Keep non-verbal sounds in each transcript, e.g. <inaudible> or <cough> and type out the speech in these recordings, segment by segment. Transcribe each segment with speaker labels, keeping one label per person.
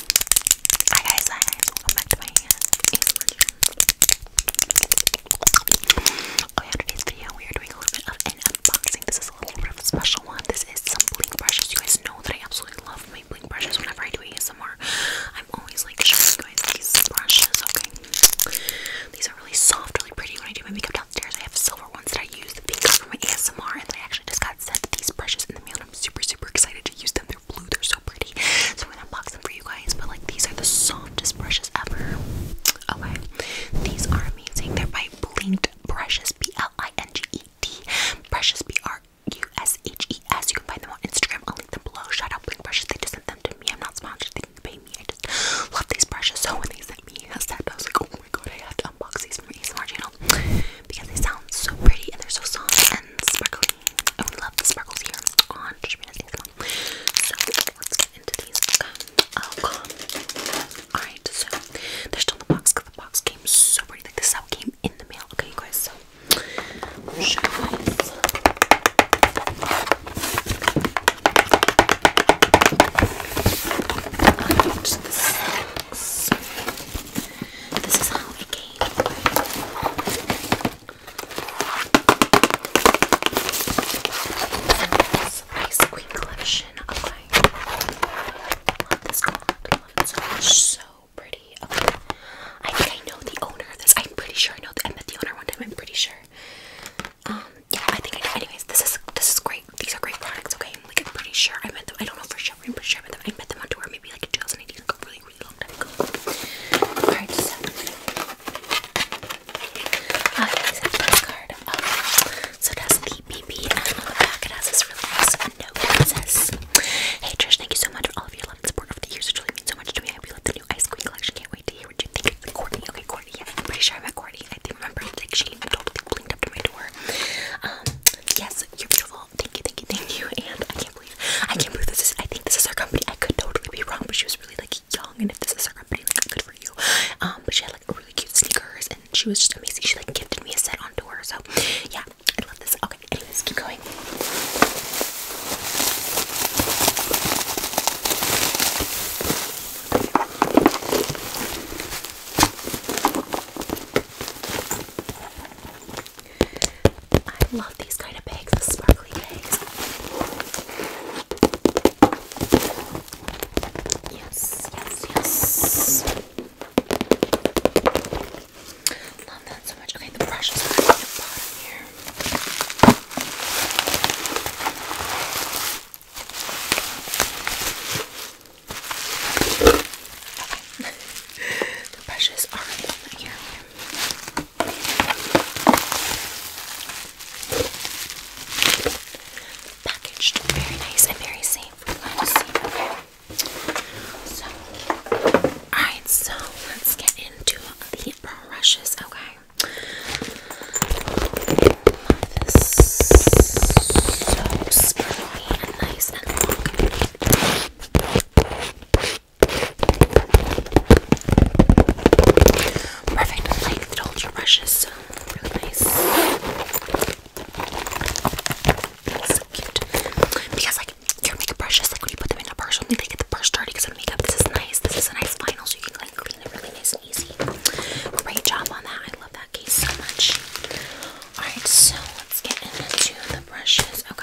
Speaker 1: Hi guys, hi guys, back to my ASMR Oh today's video we are doing a little bit of an unboxing. This is a little bit of a special one. This is some bling brushes. You guys know that I absolutely love my bling brushes whenever I do ASMR. I'm always like showing you guys these brushes, okay? These are really soft, really pretty. When I do my makeup downstairs, I have silver ones that I use the pink for my ASMR and I actually just got sent these brushes in the mail I'm super, super excited to use them. They're blue, they're so pretty. So I'm gonna unbox them for you guys. But like these are the softest brushes ever. Okay. These are amazing. They're by Blinked Brushes, B-L-I-N-G-E-D. Brushes B-R-U-S-H-E-S. -E you can find them on Instagram. I'll link them below. Shout out Blinked Brushes. They just sent them to me. I'm not sponsored, they didn't pay me. I just love these brushes. So when they sent me I set, I was like, oh my god, I have to unbox these from my ASMR channel because they sound so pretty and they're so soft and sparkly. I would love the sparkles here on Trishmina's Instagram. So let's get into these. Okay. Um, oh god. Alright, so they're still in the box because the box came so pretty. Like the sub came in the mail. Okay, you guys, so show you this is how we came. This ice cream collection. Okay. Love this card. Love it so pretty. I think I know the owner of this. I'm pretty sure I know. The, I met the owner one time. I'm pretty sure. Um. Yeah. I think I know. Anyways, this is this is great great. These are great products. Okay, like I'm pretty sure I met them. I don't know for sure. I'm pretty sure I met them. I met them on tour maybe like in 2018, like a really, really long time ago. Alright, so uh, it's a card. Um, so it has the BB and on the back it has this really nice note that says, "Hey Trish, thank you so much for all of your love and support over the years. It really means so much to me. I hope you love the new ice cream collection. Can't wait to hear what you think." It's Courtney. Okay, Courtney. Yeah, I'm pretty sure I met Courtney. I do remember like she totally blinked up to my door. Um, yes, you're beautiful. Thank you, thank you, thank you. And I can't believe, I can't believe this is, I think this is her company. I could totally be wrong, but she was really like young. And if this is her company, like good for you. Um, but she had like really cute sneakers and she was just amazing. She like gifted me a set on tour. So yeah, I love this. Okay, anyways, keep going. I love these kind of bags, the sparkly bags. Yes, yes, yes. Love that so much. Okay, the brushes are at the bottom here. <laughs> the brushes are in here. Packaged very nice and very safe. So, alright, so let's get into the brushes, okay? this. So springy and nice and long. Perfect. I like the brushes. really nice. So cute. Because like your makeup brushes, like when you put them in a purse, only they get the purse dirty because of makeup. This is nice. This is a nice final, so you can like clean it really nice Great job on that. I love that case so much. Alright, so let's get into the brushes. Okay.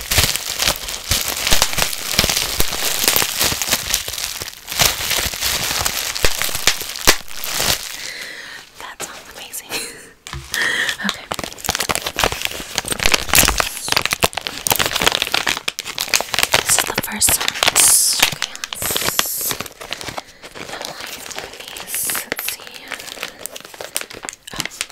Speaker 1: That sounds amazing. <laughs> okay. This is the first time. Okay, let's. Let's see. Oh.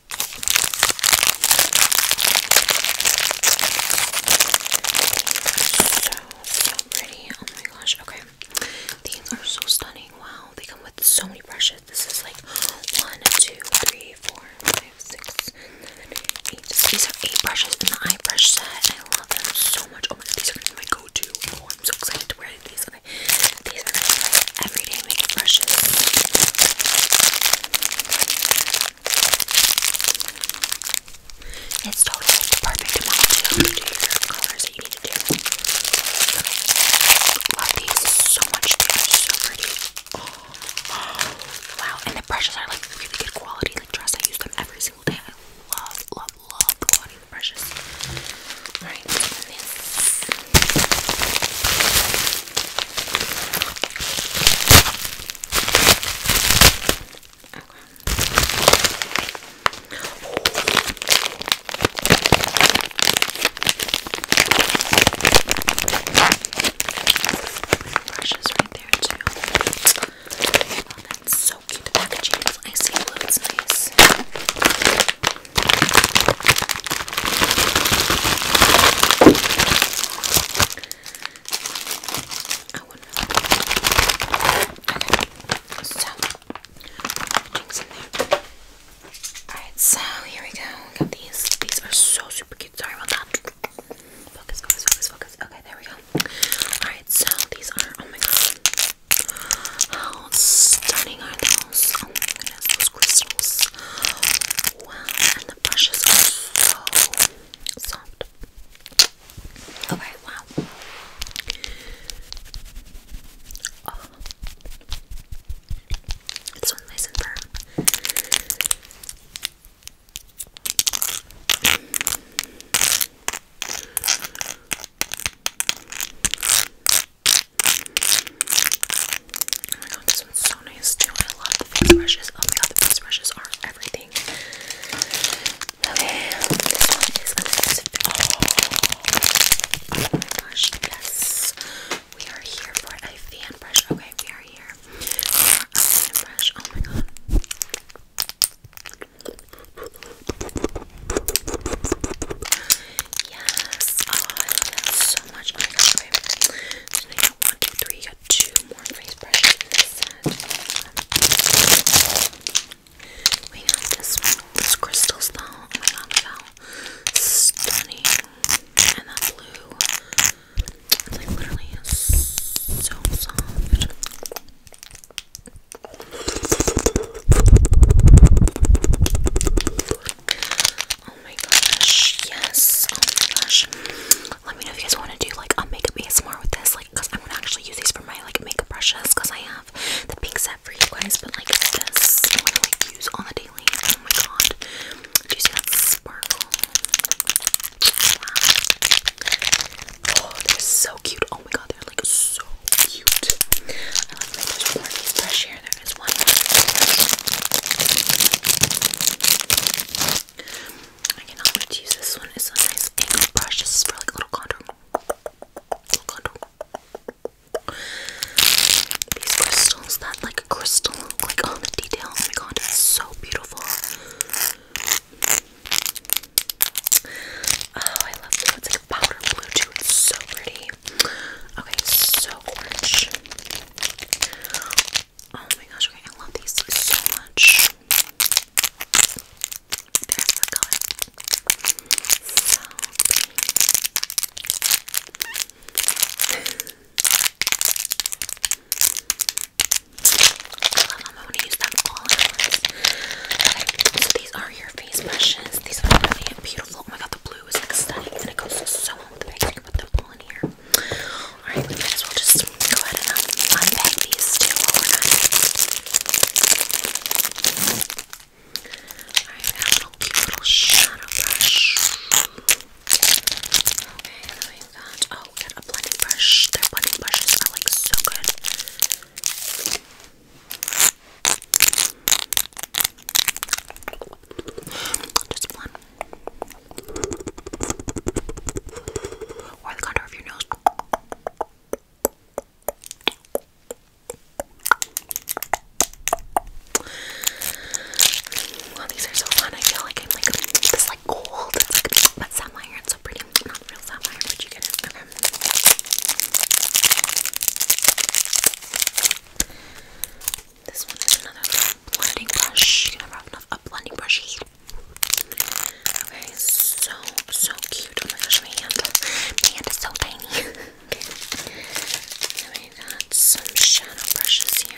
Speaker 1: So pretty. Oh my gosh. Okay. These are so stunning. Wow. They come with so many brushes. This is like one, two, three, four, five, six, seven, eight. These are eight brushes in the eye brush set. I love them so much. Oh my god, these are gonna my go-to. Oh, I'm so excited to wear these. These are my everyday makeup brushes. It's totally the perfect amount to do colors that you need to do. Okay. these so much. they so pretty. <gasps> wow. And the brushes are like really good quality. Like dress, I use them every single day. I love, love, love the quality of the brushes. Alright, this Brushes right there too. Oh, that's so cute. The packaging is icy blue. It's nice. Alright, so here we go. We got these. These are so super cute. Sorry about that. Focus, focus, focus, focus. Okay, there we go. Alright, so these are oh my god. How stunning are those? Oh my those crystals. Wow, and the brushes are so soft. Okay, wow. Oh. This one's nice and firm. Oh my god, this one's so nice too. I love the face brushes. Oh my god, the face brushes are everything. Okay, this one is Oh my gosh, yes. We are here for a fan brush. Okay, we are here for a fan brush. Oh my god. Yes, oh, I so much. I got okay. So now you got one, two, three. You got two more face brushes We got this one. This crystals though. Oh my god, stunning. And that blue. It's like literally so soft. Oh my gosh, yes. Oh my gosh. Let me know if you guys want to do like a makeup more with this, like, I'm gonna actually use these for my like makeup brushes, because I have the pink set for you guys, but like this, I'm gonna like use on the daily. Oh my god. Do you see that sparkle? Wow. Oh, they're so so cute. Oh my god, they're like so cute. I like that there's more of these hair. There is one. I cannot wait to use this one. It's a nice angle brush. This is for like little contour. Little contour. These crystals, that like crystal like on oh, the detail. Oh my god, it's so beautiful. Oh, I love this. It's like powder blue too. It's so pretty. Okay, so orange. Oh my gosh, I love these so much. There's the color. I love them. I want to use them all Okay, so these are your face brushes. These are really beautiful. Oh my god, the blue is like stunning and it goes so well with the bag. put them all in here. Alright, we might as well just go ahead and um, these two Alright, we got a little cute little shadow brush. Okay, and we've oh, we got a blending brush. Their blending brushes are like so good. Just one. Or the contour of your nose. Well, these are so fun. I feel like I'm like this, like gold. It's like, but sapphire. It's so pretty. Not real sapphire, but you get them. This one is another blending brush. You can never have enough blending brushes. Okay, so so cute. Oh my gosh, my hand, my hand is so tiny. <laughs> okay, we got some shadow brushes here.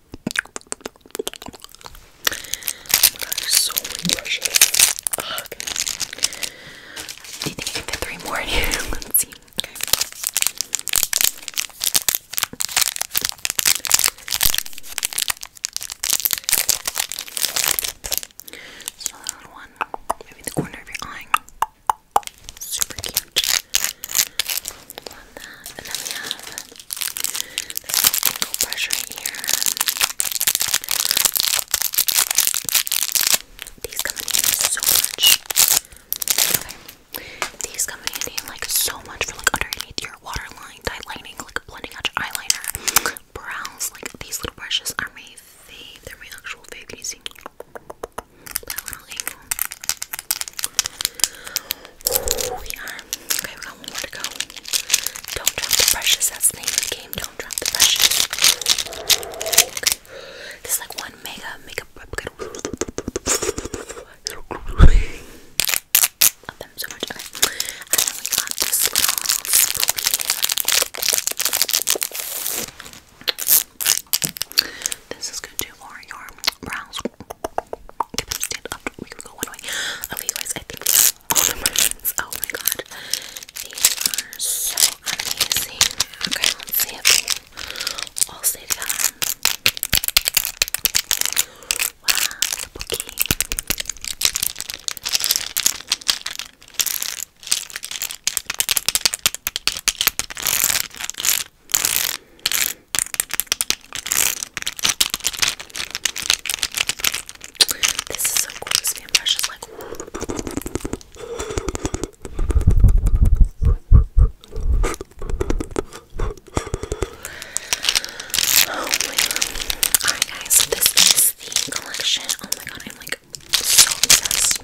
Speaker 1: so many brushes. I can three more in here? <laughs> Let's see. another one. Maybe the corner of your eye. Super cute. Love And then we have this angle brush right here. These come in so much. Okay. These come in like so much for like underneath your waterline, lightlining, like blending out your eyeliner, brows. Like these little brushes are my fave. my actual fave. you we are. Okay, we got one more to go. Don't drop the brushes. That's the name of the game. Don't drop the brushes. Okay. This is like one mega makeup. Love them so much. Okay. And got this little this is good too for your brows. Get We can go one way. Okay, guys, Oh my god. These are so amazing. Okay, let's see if all stay together. Wow, the this is so cool. This fan brush is like. Oh my god. Alright, guys, so this is the collection. Oh my god, I'm like so obsessed.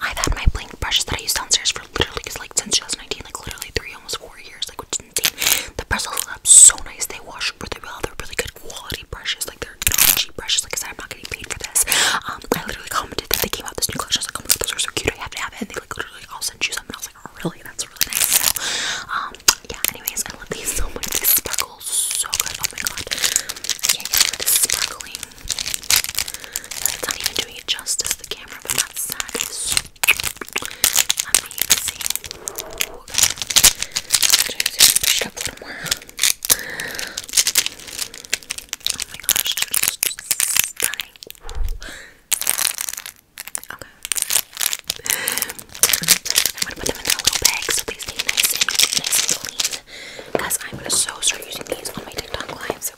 Speaker 1: I've had my blank brushes that I use downstairs for literally cause like since 2019, like literally three, almost four years, like which is insane. The bristles are so nice, they wash really well, they're really good quality brushes, like they're not cheap brushes, like I said, I'm not getting paid for this. Um, I literally commented that they came out this new collection, I was like, oh my god, those are so cute, I have to have it, and they like literally all sent you something, I was like, oh really, that's really nice. So, um, yeah, anyways, I love these so much, they sparkle so good, oh my god, I can't get over this sparkling that's not even doing it justice, the camera, but that is amazing. Ooh, okay. push it up a little more. Oh my gosh, Okay. <laughs> I'm gonna put them in a little bag so they stay nice and clean. Because I'm so start using these on my TikTok lives.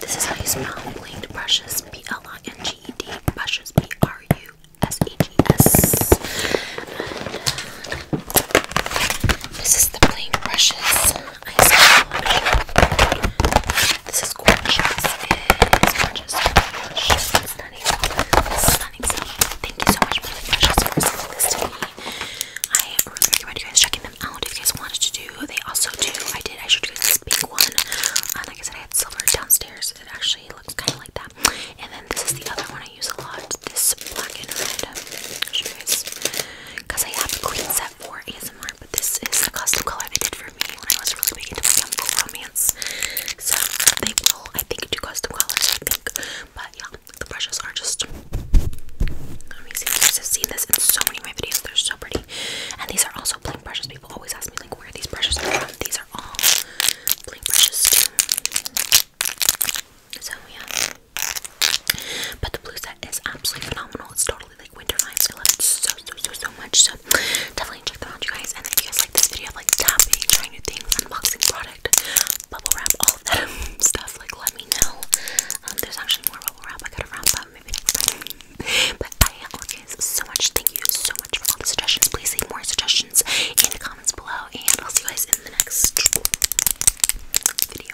Speaker 1: This is how you smell blade brushes. B L I N G E D brushes. B R U S E G S. Uh, this is the plain brushes ice cream. This is gorgeous. It is gorgeous. gorgeous. Stunning. Stunning. thank you so much for the precious for sending this to me. I really recommend you guys checking them out if you guys wanted to do. They also do. I did. I should do guys this pink one. Uh, like I said, I had silver downstairs. It actually looks kind of like that. And then this is the other one I use a lot. This black and red. Because I have a clean set for ASMR but this is a custom color they did for me when I was really big into my chemical romance. So they will, I think, do custom colors, I think. But yeah, the brushes are just amazing. You guys have seen this in so many of my videos, they're so pretty. And these are also plain brushes. People always ask me, like, where these brushes are from. These are all plain brushes, too. So yeah. But the blue set is absolutely phenomenal. It's totally like winter vibes. I love it so, so, so, so much. So definitely check them out, you guys. And if you guys like this video like trying new things, unboxing product, bubble wrap, all that <laughs> stuff, like let me know. Um, there's actually more bubble wrap I gotta wrap maybe next but I love you guys so much. Thank you so much for all the suggestions. Please leave more suggestions in the comments below, and I'll see you guys in the next video.